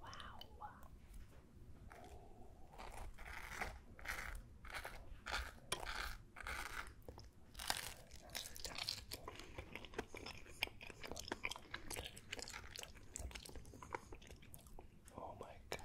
Wow. Oh my god.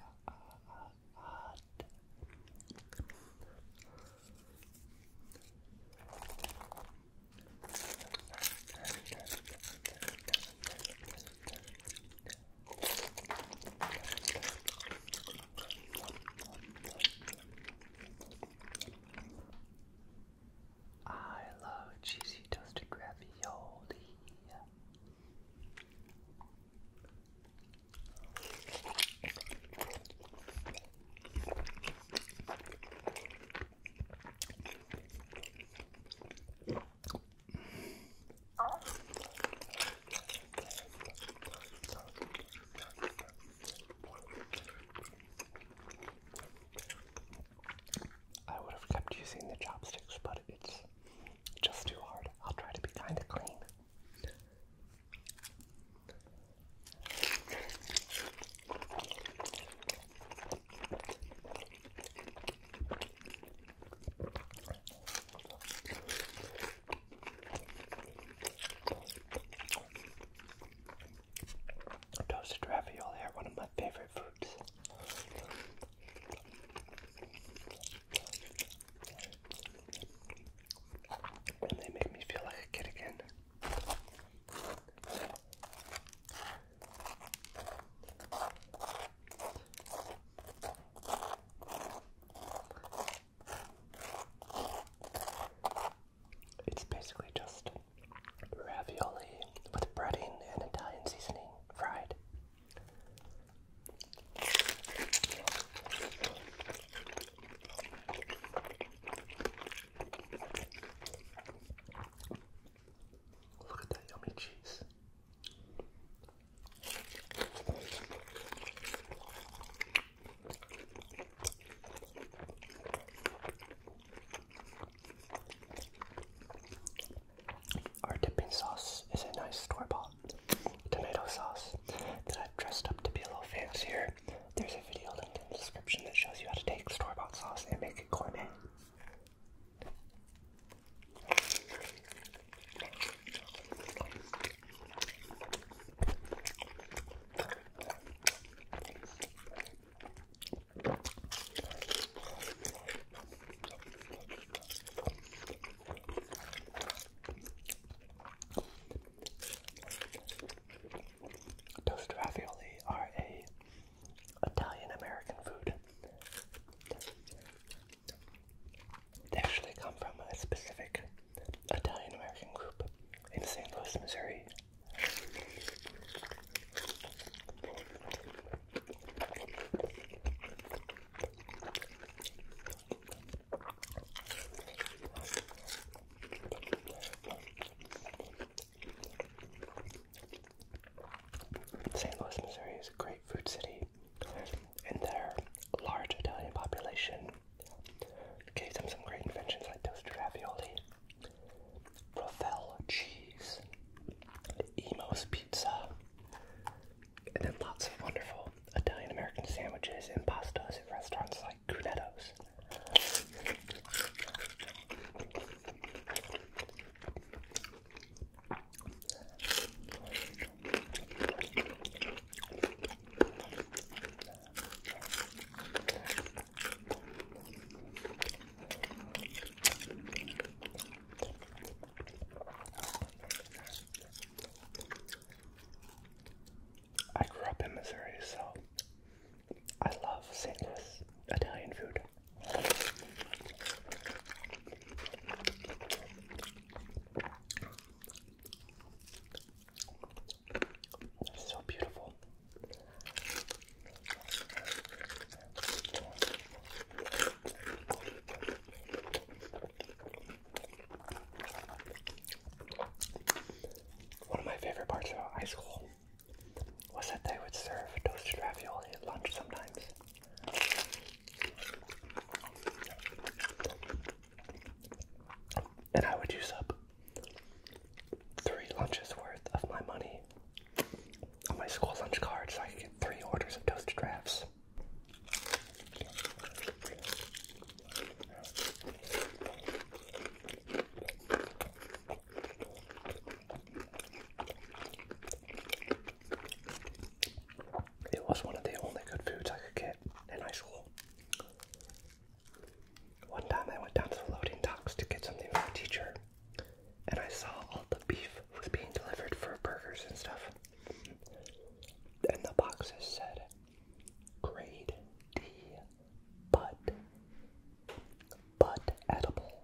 I love cheesy toasted ravioli. I would have kept using the chopsticks, but it's just too hard. I'll try to be kind of clean. Toasted ravioli are one of my favorite foods. And they make me feel like a kid again. It's basically just ravioli with breading and Italian seasoning fried yummy cheese. Our dipping sauce is a nice store bought tomato sauce that I've dressed up to be a little fancier. There's a video linked in the description that shows you how to take store bought sauce and make it gourmet. Toast ravioli are a Italian American food. They actually come from a specific Italian American group in St. Louis, Missouri. St. Louis, Missouri is a great food city, and their large Italian population gave them some great inventions like toasted ravioli, Ravel cheese, Emo's pizza, and then lots of wonderful Italian American sandwiches and pastas at restaurants like Cunetto's. I grew up in Missouri, so I love San Luis Italian food. so beautiful. One of my favorite parts about high school was that they would serve toasted ravioli at lunch sometimes. And I would use up three lunches worth of my money on my school lunch card so I could get three orders of toasted drafts. It was one of the only good foods I could get in high school. One time I went down to the loading docks to get something for a teacher, and I saw all the beef was being delivered for burgers and stuff. And the boxes said grade D but but edible.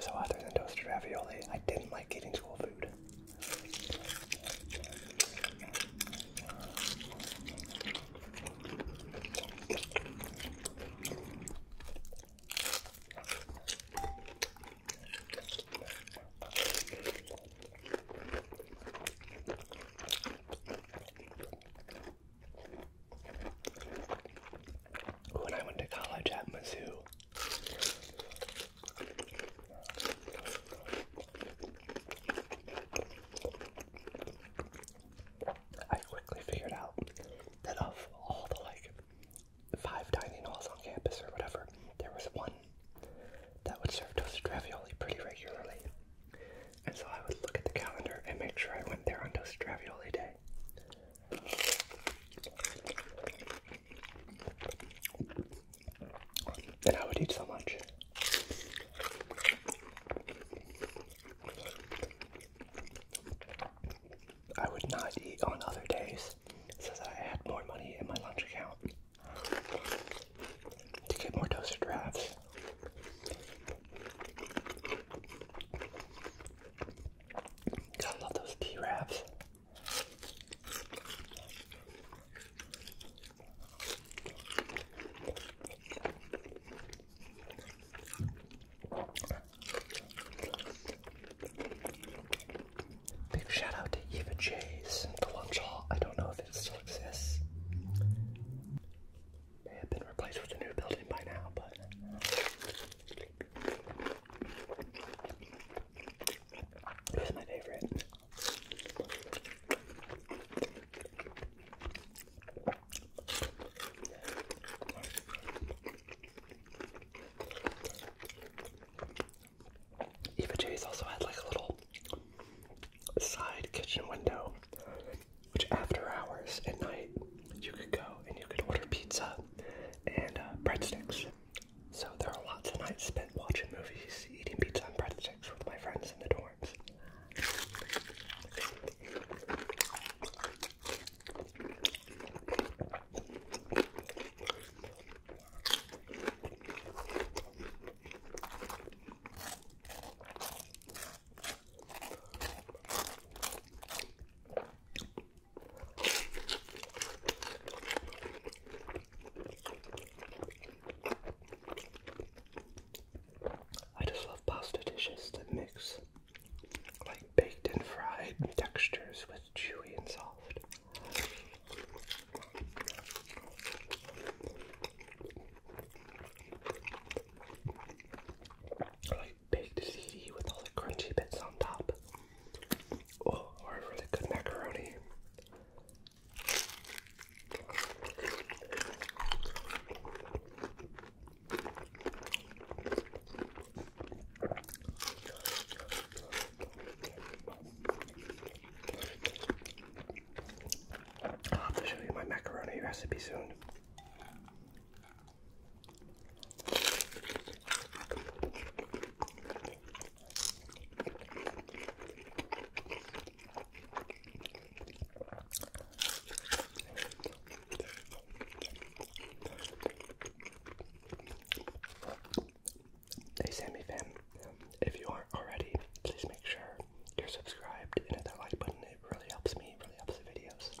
So other than toasted ravioli, I didn't like eating school food. When I went to college at Mizzou, I quickly figured out that of all the like five dining halls on campus or whatever, there was one that would serve toasted ravioli pretty regularly. And so I would look at the calendar and make sure I went there on toasted ravioli day. And I would eat so much. I would not eat on other days so that I had more money in my lunch account to get more toaster drafts. God, I love those tea wraps. Big shout out to Eva J's, the lunch hall. I don't know if it still exists. May have been replaced with a new building by now, but. It was my favorite. Eva J's also had like a little side kitchen window, which after hours at night you could go and you could order pizza and uh, breadsticks. So there are lots of nights spent watching movies, eating pizza and breadsticks with my friends in the dorms. I just love pasta dishes that mix like baked and fried textures with chewy and soft. Like baked ziti with all the crunchy bits on top. Oh, or really good macaroni. I'll have to show you my macaroni recipe soon. Hey Sammy fam, if you aren't already, please make sure you're subscribed and hit that like button. It really helps me, really helps the videos.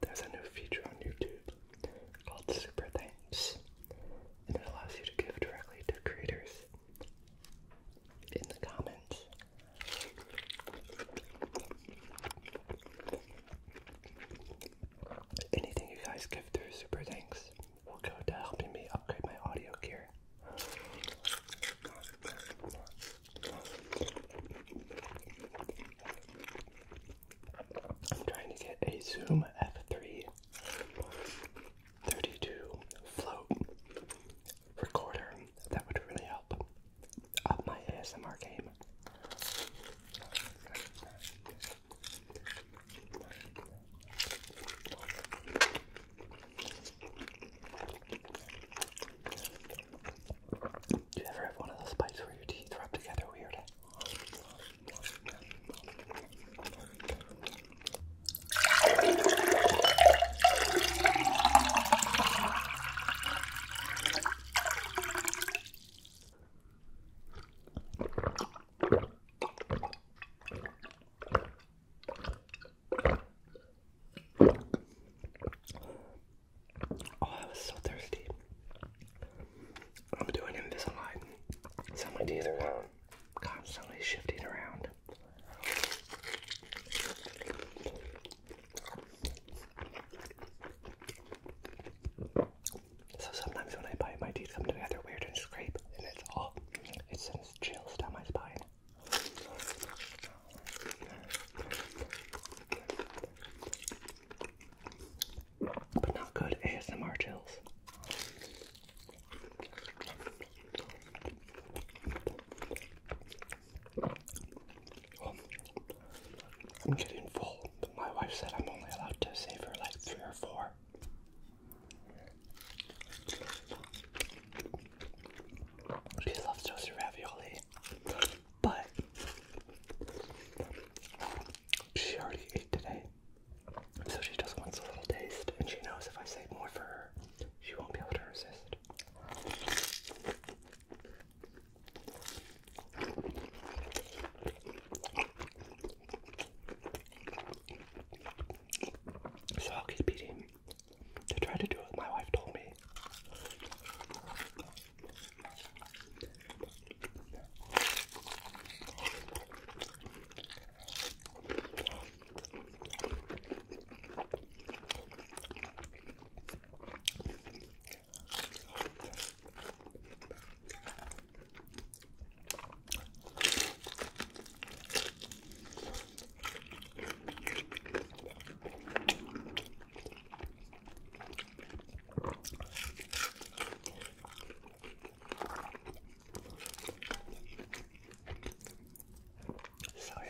There's a new feature on YouTube called Super Thanks, and it allows you to give directly to creators in the comments. Anything you guys give through Super Thanks will go to helping me upgrade my audio gear. I'm trying to get a Zoom F3 float recorder. That would really help up my ASMR game. Do you ever have one of those bites where your teeth rub together weird? Oh, I was so thirsty. I'm doing Invisalign, so my teeth are um, constantly shifting around. So sometimes when I bite, my teeth come together weird and scrape, and it's all, it sends chills down my spine. But not good ASMR chills. I'm getting full, but my wife said I'm only allowed to save her like three or four. She loves toasted ravioli. But she already ate today, so she just wants a little taste, and she knows if I save more for her, she won't be able to resist. So I'll keep eating to try to do what my wife told me. Sorry,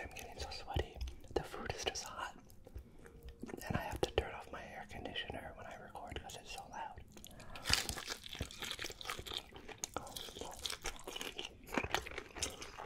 I'm getting so sweaty. The food is just hot. And I have to turn off my air conditioner when I record because it's so loud.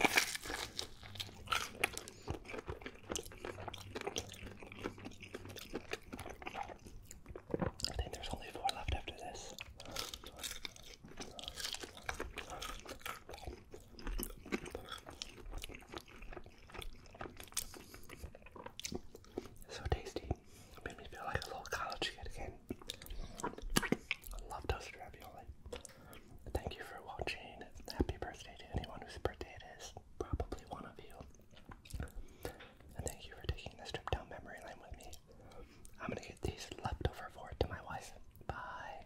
I think there's only four left after this. So tasty. It made me feel like a little college kid again. I love toasted ravioli. Thank you for watching. Happy birthday to anyone whose birthday it is. Probably one of you. And thank you for taking this trip down memory lane with me. I'm gonna get these leftover forward to my wife. Bye.